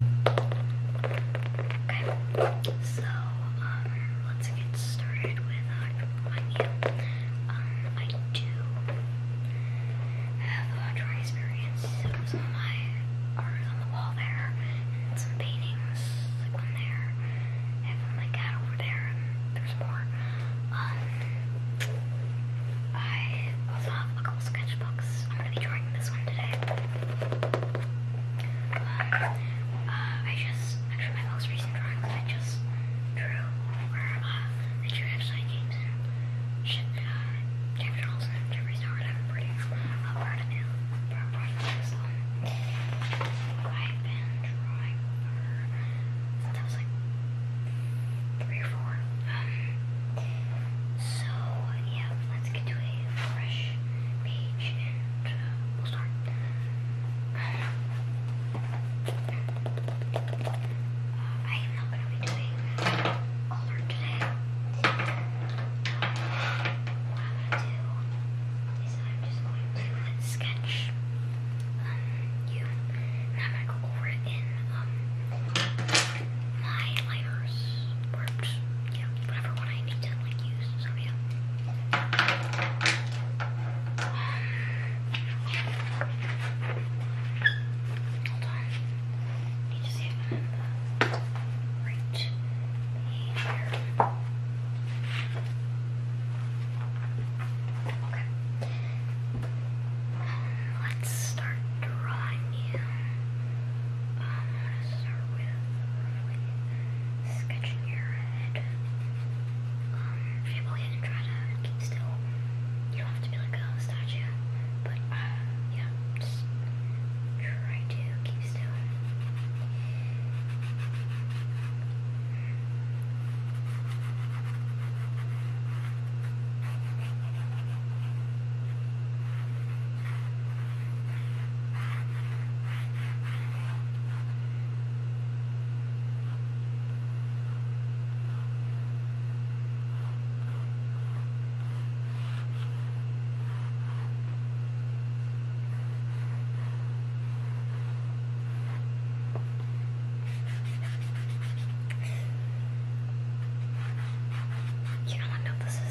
Okay, so um, let's get started with uh, my Um, I do have a drawing experience. It was my art on the wall there, some paintings, like one there. I have one over there, there's more. Um, I also have sketchbooks. I'm gonna be drawing this one today. Uh, I just, actually my most recent drawing I just drew I drew uh, Ashley James and shit, uh, James Charles and Jeffree pretty, uh, of new, I've been drawing for, was like, three or four. Um, so, yeah, let's get to a fresh we'll start. Um, I am not going to be doing color today. What I'm going to do is I'm just going to sketch you, I'm going to go over in um, my lighters Yeah, whatever one I need to like use. yeah. Hold on. I need to see if i here. Okay. Um, let's start drawing him. I'm going to start with sketching your head. try to keep still, you don't have to be like a statue, but yeah, try to keep still. You know what? No, this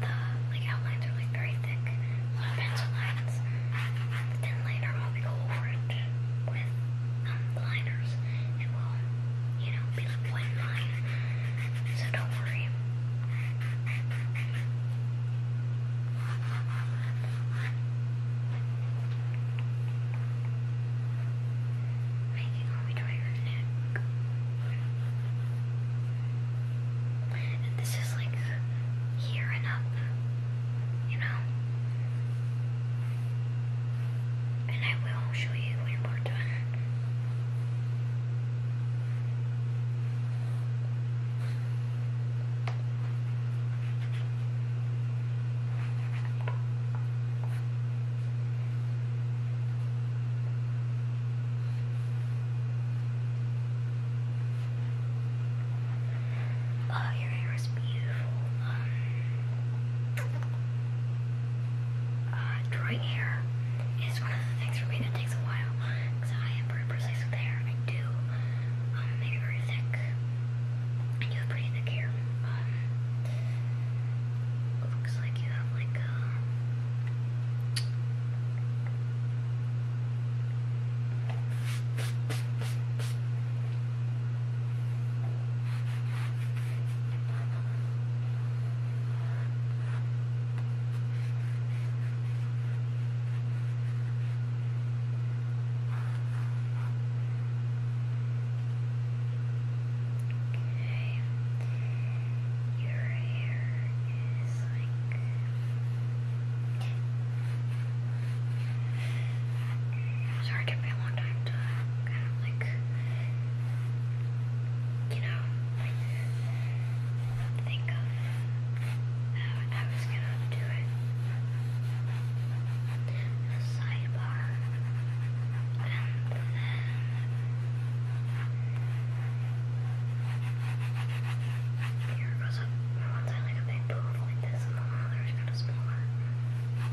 the like outlines are like very thick, little pencil lines. then later I'll go over it with um, liners. It will, you know, be like one line. So don't worry. Making all the way and this is like here and up, you know? And I will show you when we're done. Oh, your hair is beautiful. Um, uh, dry hair is one of the things for me that takes a while because I am pretty precise hair. I do um, make very thick. I have pretty thick hair. Um, looks like you have like a um, Okay. Your hair is Sorry, took me a long time to kind of like, you know, like think of I was gonna do it. The sidebar, and then. But here goes up one time like a big pool like this, and then another is kind of smaller. All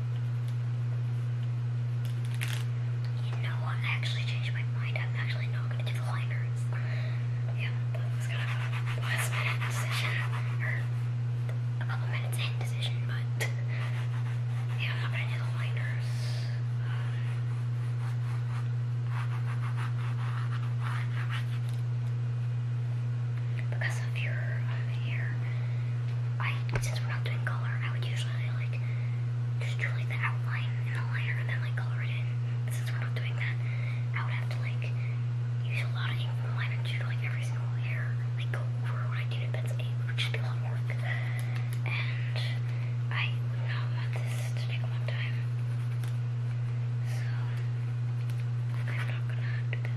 You know what? I actually changed my mind. I'm actually not going to do the liners. Yeah, that was kind of a last minute decision, or a couple minutes in decision, but yeah, I'm not going the liners. because of your hair. Uh, color. I since we're not doing color, I would usually like just do like the outline and the liner and then like color it in. since we're not doing that, I would have to like use a lot of ink from the liner to like every single layer, like go over what I did in pencil ink, be a lot of work. And I would not want this to take a long time. So I'm not gonna do that.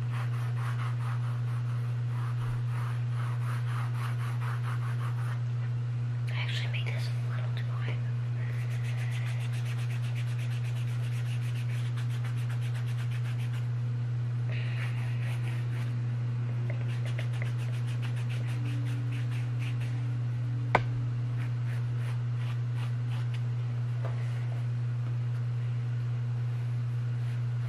I actually made this a little too high.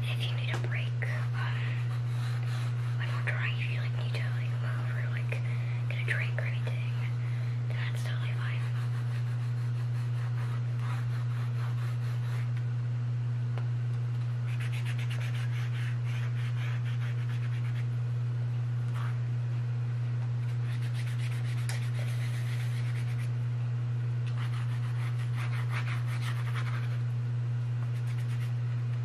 if you need a break, um, when we're drawing, if you like need to like move or like get a drink or anything, that's totally fine.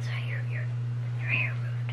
So your your your hair moved.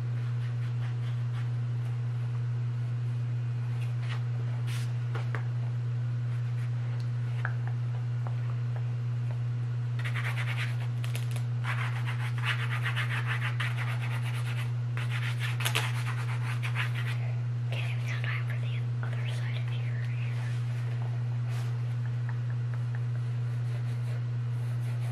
Okay, it's time for the other side of your hair.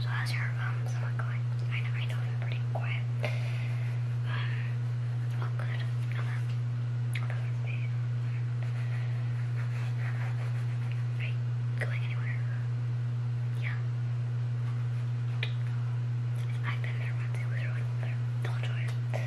So how's your um going? I know I know you pretty quiet. all um, good. Um, going anywhere? Yeah. I've been there once. It was really there. I'll enjoy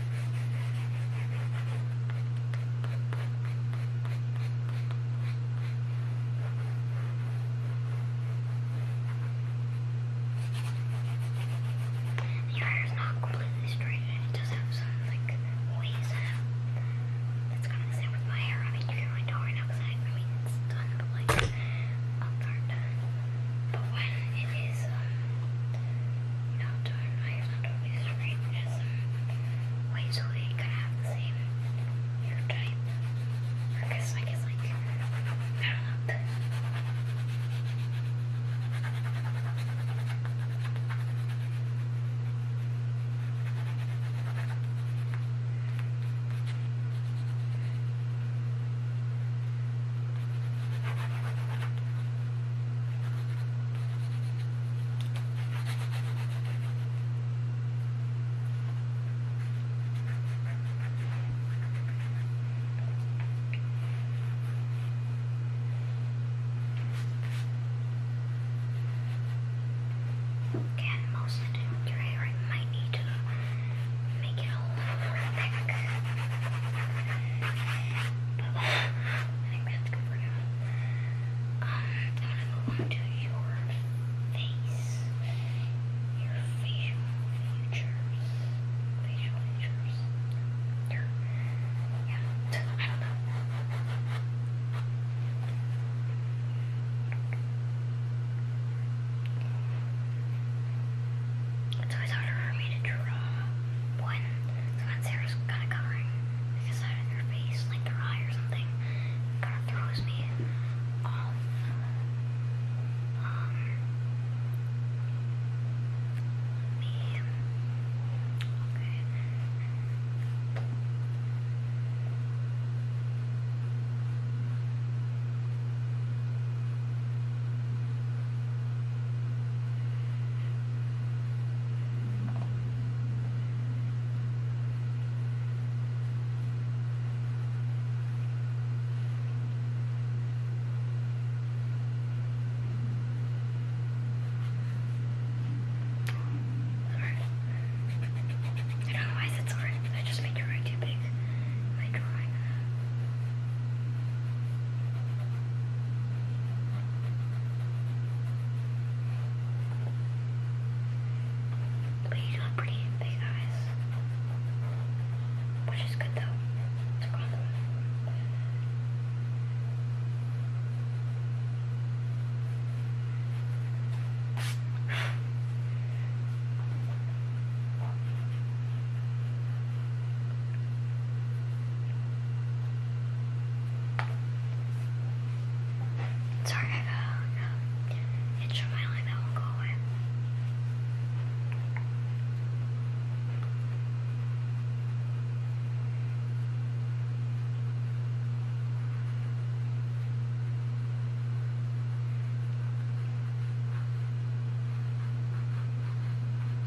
Your hair's not completely straight it does have some like waves That's kind of the same with my hair. I mean, you can really tell right now because I, I mean, done, but like, I'll start But when it is, um, know, Jordan and I are not always because some ways we could have the same hair type. Or I guess, like, I don't know. Again, mostly to deterioring my need to make it all over thick. I think that's good for now. I'm gonna move on to your face. Your facial features. Facial features. Yeah, I don't know. It's always harder for me to draw one the ones there is kind of covering like the side of face, like their eye or something. Kind of throws me off. Um, I don't know why I said sorry. I just made your eye too big. My drawing. But you do have pretty big eyes. Which is good though. Sorry, I got an uh, my leg that won't go away.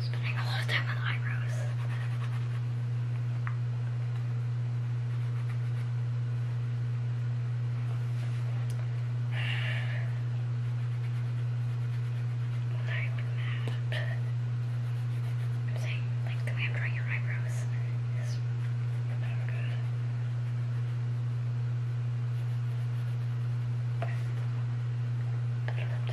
spending a lot of time on eyebrows. Like that. I'm saying, like, the way I'm drawing your eyebrows is not good. Perfect.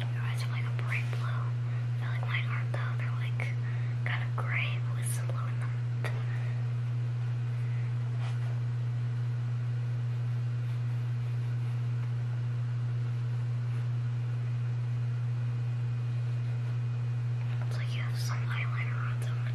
My eyes are like a bright blue. I like mine though. They're like kind of gray with some blue in It's like you have some eyeliner on, so I'm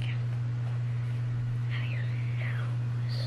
Yeah. Now your nose.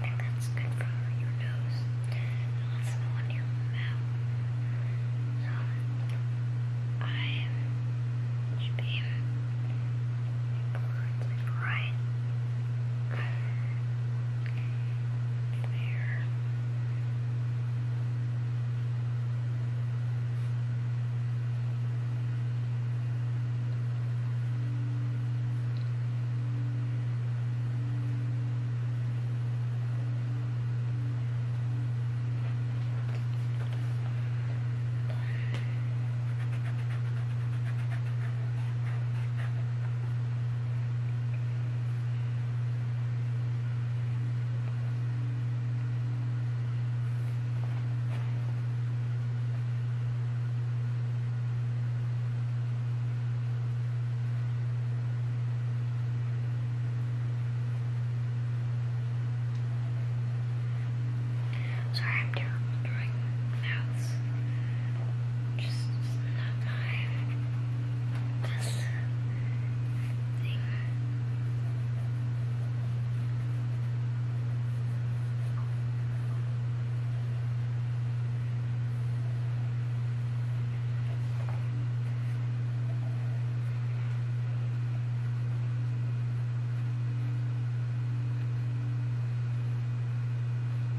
And that's good for your nose also on your mouth. So I should be right there. Right Sorry, I'm doing mouths just stuck on this thing.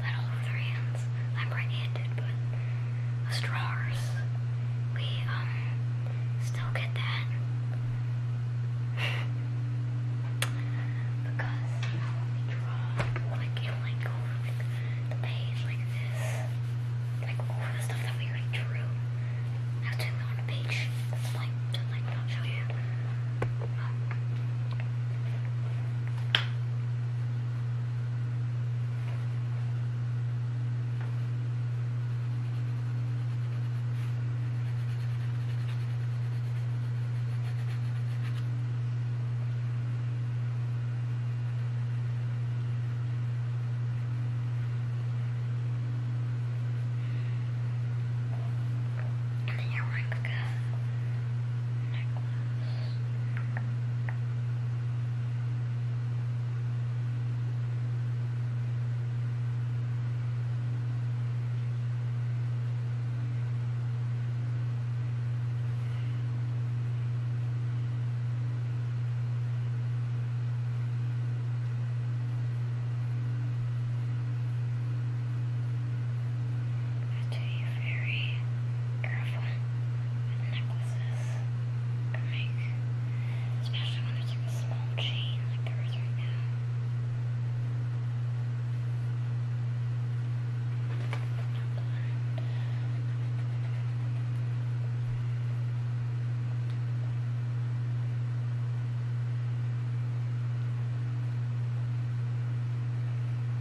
I do hands. I'm right-handed, but us drawers, we um still get that because you we draw, like you like go like the page like this, like over the stuff that we already drew. That's it on a page. That's like just like i show you. Minha única, I do you very careful with necklaces or make, especially when there's like a small chain like there is right now. Not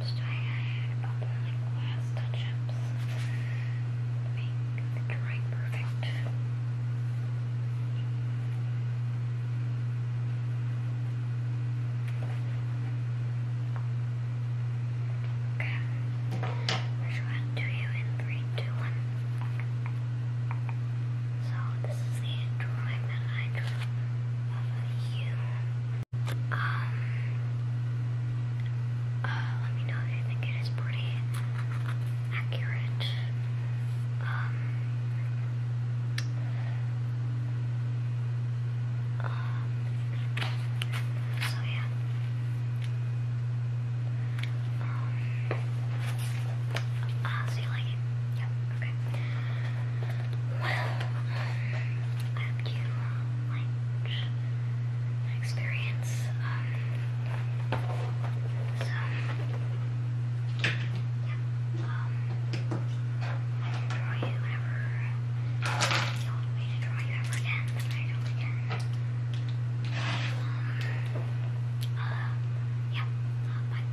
Just doing a couple last touch-ups to make perfect. Okay. First one to you in three, two, one. So this is the drawing that I drew of you. Um, uh, let me know if you think it is pretty accurate. Um, um so yeah. Um, uh, so you like it? Yep. Okay. Well, I hope you liked my experience. Um, so, Um, I can draw you whenever you want me to draw you ever again, I don't again. uh, yeah. bye.